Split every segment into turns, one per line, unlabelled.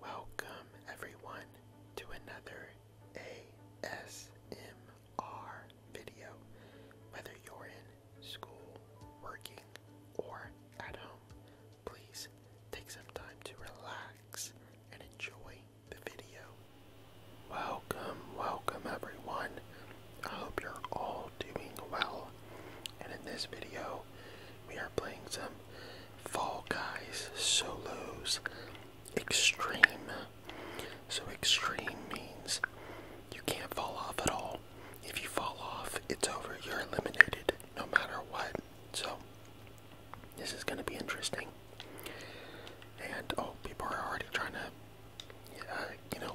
Welcome, everyone, to another ASMR video. Whether you're in school, working, or at home, please take some time to relax and enjoy the video. Welcome, welcome, everyone. I hope you're all doing well. And in this video, we are playing some Fall Guys Solos Extreme. So, extreme means you can't fall off at all. If you fall off, it's over. You're eliminated no matter what. So, this is going to be interesting. And, oh, people are already trying to, uh, you know,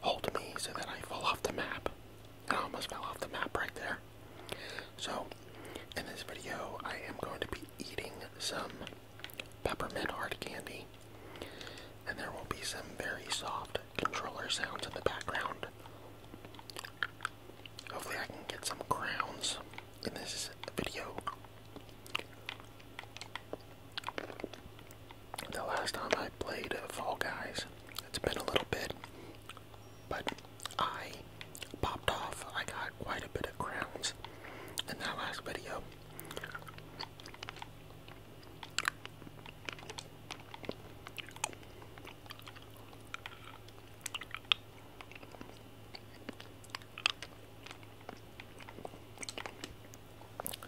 hold me so that I fall off the map. I almost fell off the map right there. So, in this video, I am going to be eating some peppermint hard candy, and there will be some very soft controller sounds in the background. Hopefully, I can get some crowns in this video. The last time I played Fall Guys, it's been a little bit, but I popped off. I got quite a bit of crowns in that last video.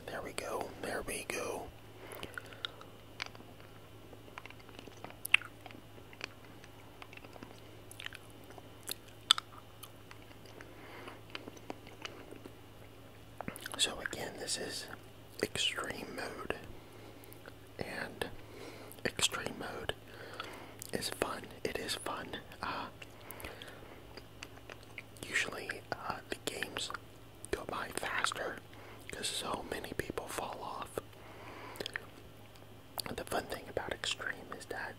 There we go, there we go. So again, this is extreme mode, and extreme mode is fun. It is fun. Uh, usually, uh, the games go by faster because so many people fall off the fun thing about extreme is that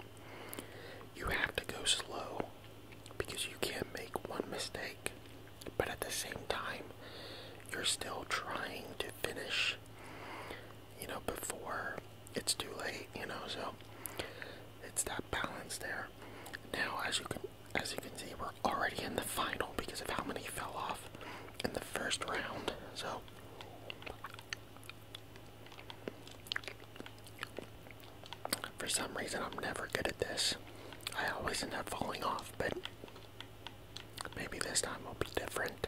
you have to go slow because you can't make one mistake, but at the same time, you're still trying to finish, you know, before it's too late, you know, so it's that balance there. Now, as you can as you can see, we're already in the final because of how many fell off in the first round. So for some reason, I'm never good at this. I always end up falling off, but maybe this time will be different.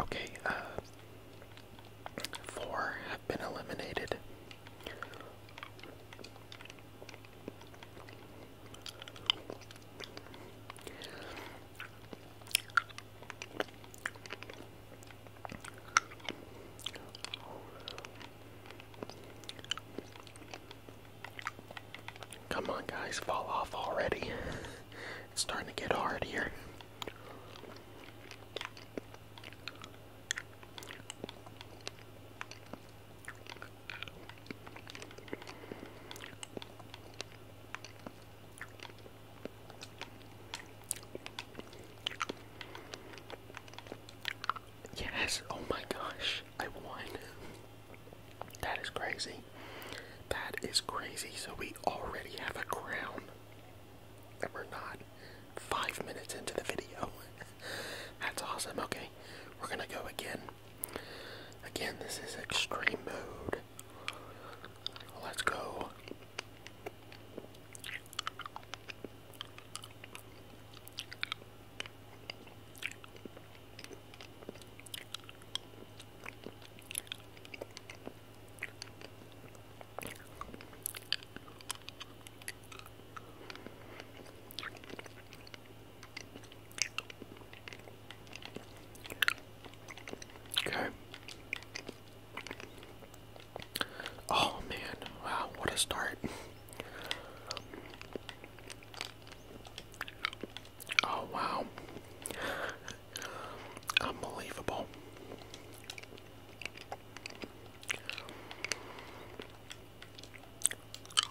Okay, uh, four have been eliminated. Come on, guys, fall off already. It's starting to get hard here. Yes, oh my gosh, I won. That is crazy. That is crazy. So we already have a crown. And we're not five minutes into the video. That's awesome. Okay, we're gonna go again. Again, this is extreme mode. Let's go. Okay. Oh man, wow, what a start. Oh wow. Unbelievable.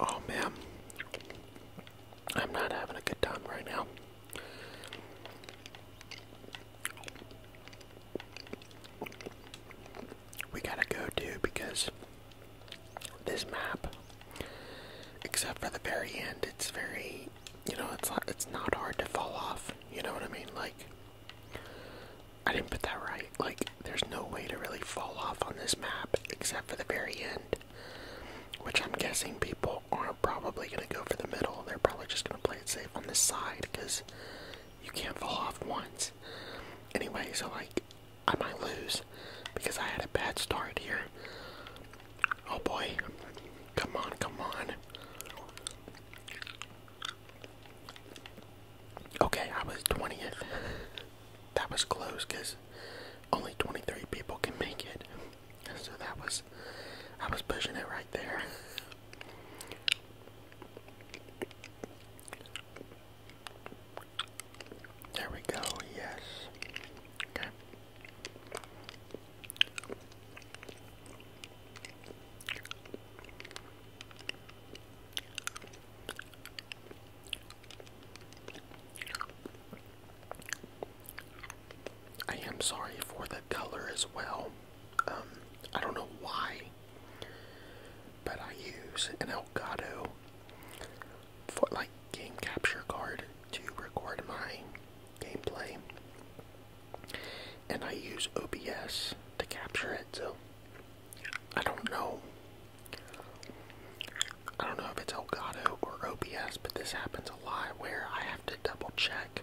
Oh man. I'm not having a good time right now. We gotta go, dude, because this map, except for the very end. It's very, you know, it's not, it's not hard to fall off. You know what I mean? Like, I didn't put that right. Like, there's no way to really fall off on this map, except for the very end. Which I'm guessing people aren't probably going to go for the middle. They're probably just going to play it safe on this side because you can't fall off once. Anyway, so like I might lose because I had a bad start here. Oh boy. Come on, come on. Okay, I was 20th. that was close because only 23 people can make it. So that was, I was pushing it right there. There we go, yes. Okay. I am sorry for the color as well. Um, I don't know why but I use an Elgato for like game capture card to record my gameplay. And I use OBS to capture it, so I don't know. I don't know if it's Elgato or OBS, but this happens a lot where I have to double check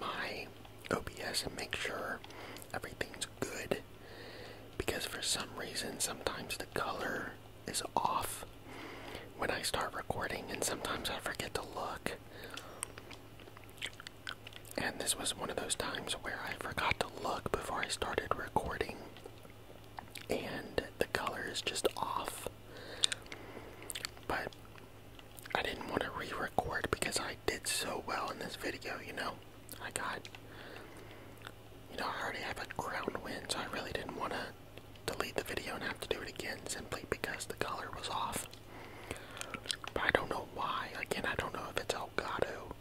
my OBS and make sure everything good because for some reason sometimes the color is off when I start recording and sometimes I forget to look. And this was one of those times where I forgot to look before I started recording and the color is just off. But I didn't want to re-record because I did so well in this video, you know. I got you know, I already have a ground win, so I really didn't want to delete the video and have to do it again simply because the color was off. But I don't know why. Again, I don't know if it's Elgato,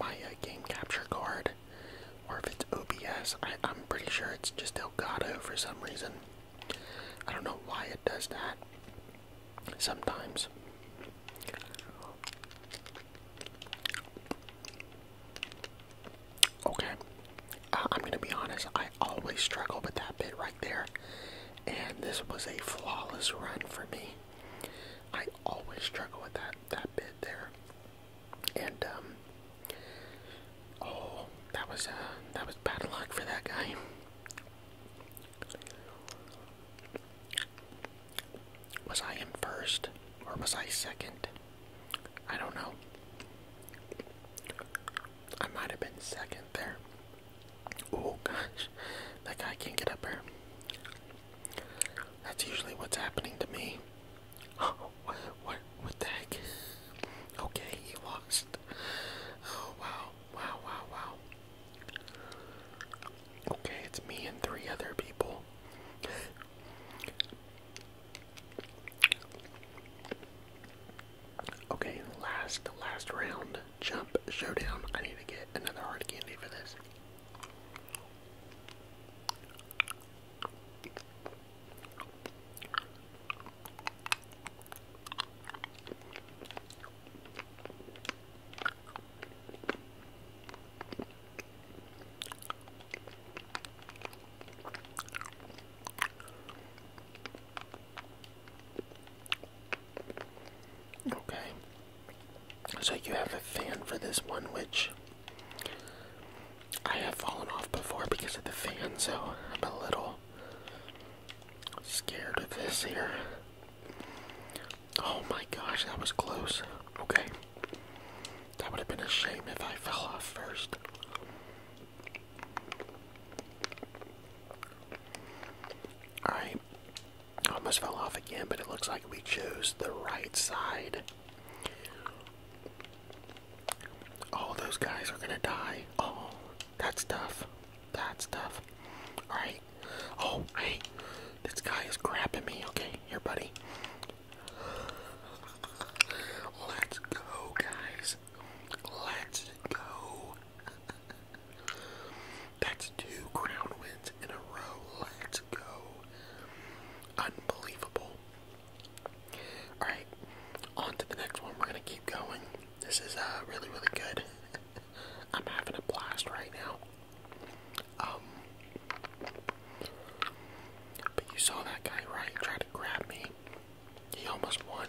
my uh, game capture card, or if it's OBS. I'm pretty sure it's just Elgato for some reason. I don't know why it does that sometimes. Okay, I'm gonna be honest, I always struggle with that bit right there, and this was a flawless run for me. I always struggle with that, that bit there. And, um, oh, that was, uh, that was bad luck for that guy. Was I in first or was I second? I don't know. I might have been second there. Oh gosh, that guy can't get up here. That's usually what's happening to me. what, what, what the heck? Okay, he lost. Oh wow, wow, wow, wow. Okay, it's me and three other people. okay, last, last round. Jump showdown. I need to get another hard candy for this. Okay. So you have a fan for this one, which I have fallen off before because of the fan, so I'm a little scared of this here. Oh my gosh, that was close. Okay. That would have been a shame if I fell off first. Alright. Almost fell off again, but it looks like we chose the right side. All those guys are gonna die. Oh, that's tough. That's tough. Alright, Oh, hey, this guy is grabbing me. Okay, here, buddy. Let's go, guys. Let's go. That's two crown wins in a row. Let's go. Unbelievable. Alright, on to the next one. We're going to keep going. This is uh, really, really good. I'm having a blast right now. Um, but you saw that guy, right? Try to grab me. He almost won.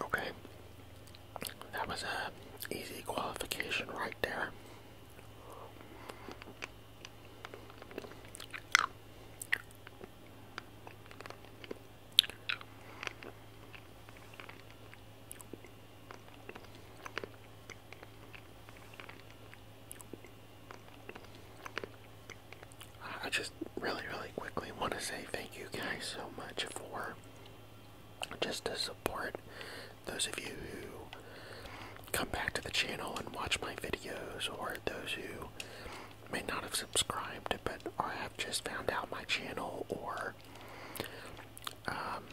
Okay. That was a easy qualification right there. I just really, really quickly want to say thank you guys so much for just the support. Those of you who come back to the channel and watch my videos, or those who may not have subscribed but or have just found out my channel, or um,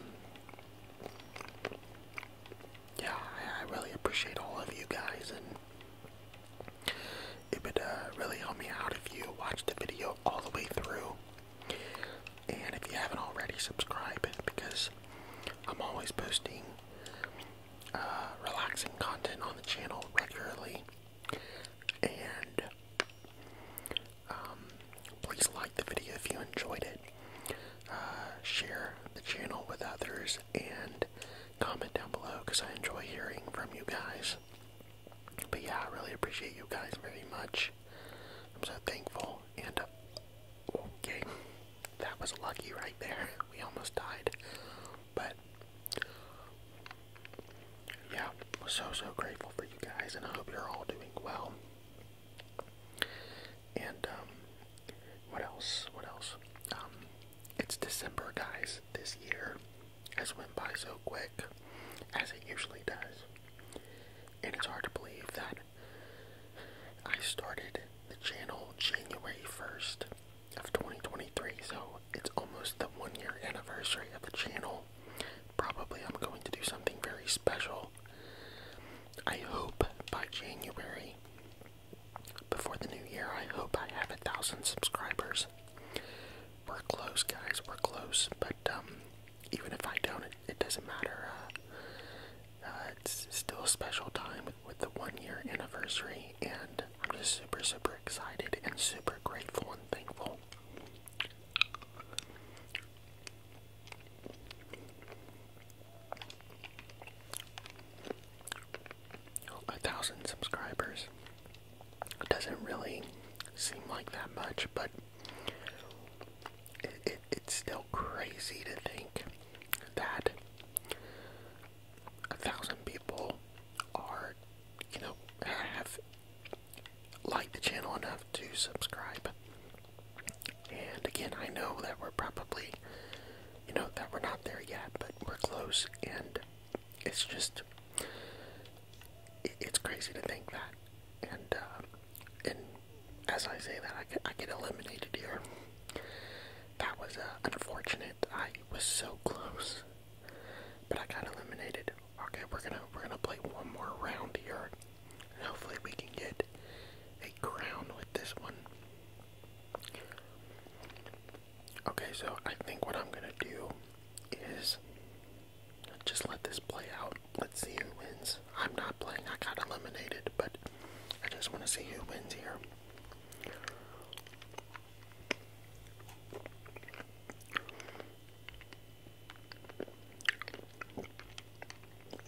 yeah, I, really appreciate all of you guys, and it would uh, really help me out if you watched the video all the way through. And if you haven't already, subscribe because I'm always posting uh, relaxing content on the channel regularly. And um, please like the video if you enjoyed it. Uh, share the channel with others and comment down below because I enjoy hearing from you guys. But yeah, I really appreciate you guys very much. I'm so thankful. And okay, that was lucky right there. We almost died. But yeah, I'm so so grateful for you guys and I hope you're all doing well. And um, what else? What else? Um, it's December, guys. This year has went by so quick, as it usually does, and it's hard to believe that I started the channel January first of 2023. So it's almost the one-year anniversary of the channel. Probably I'm going to do something very special I hope by January, before the new year, I hope I have a thousand subscribers. We're close, guys. We're close. But um, even if I don't, it, doesn't matter. Uh, uh, it's still a special time with the one-year anniversary, and I'm just super, super excited and super grateful and thankful. A thousand subscribers it doesn't really seem like that much, but it, it's still crazy to think that a thousand people are, you know, have liked the channel enough to subscribe. And again, I know that we're probably, you know, that we're not there yet, but we're close, and it's just, it's crazy to think that. And, uh, and as I say that, I get, I get eliminated here. That was uh, unfortunate. I was so close, but I got eliminated. Okay, we're gonna we're gonna play one more round here hopefully we can get a crown with this one. Okay, so I think what I'm gonna do is just let this play out. Let's see who wins. I'm not playing, I got eliminated, but I just wanna see who wins here.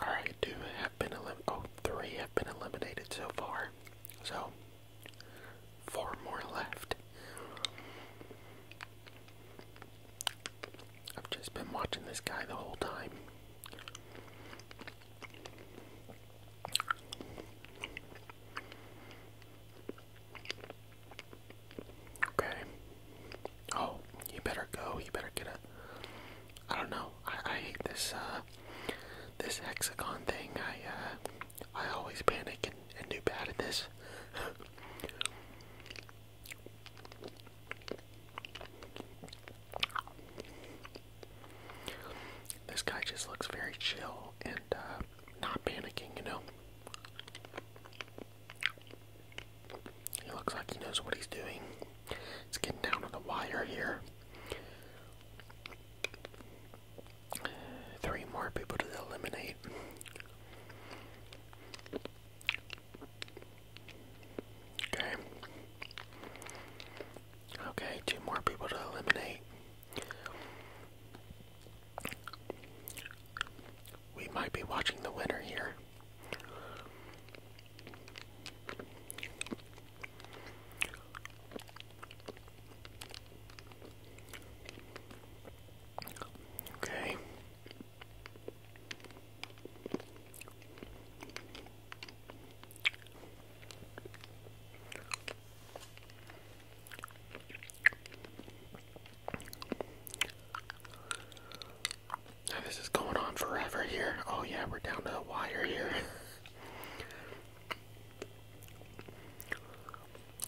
Alright, two have been eliminated. Oh, three have been eliminated so far. So, four more left. I've just been watching this guy the whole time. Okay. Oh, you better go. You better get a. I don't know. I, I hate this uh this hexagon thing. I uh I always panic and, and do bad at this. This guy just looks very chill and uh, not panicking, you know? He looks like he knows what he's doing. It's getting down to the wire here. Three more people to eliminate. Okay. Okay, two more people to eliminate. We might be watching the winner here. Okay this is going on forever here. Oh yeah, we're down to the wire here.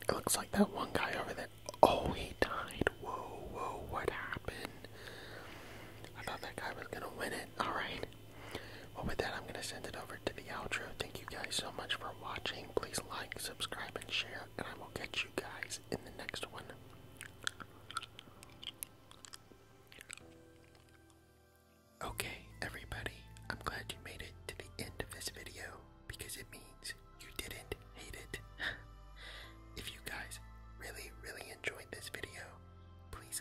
It looks like that one guy over there. Oh, he died. Whoa, whoa, what happened? I thought that guy was gonna win it. Alright. Well, with that, I'm going to send it over to the outro. Thank you guys so much for watching. Please like, subscribe, and share, and I will catch you guys in the next one. Okay, everybody, I'm glad you made it to the end of this video because it means you didn't hate it. if you guys really, really enjoyed this video, please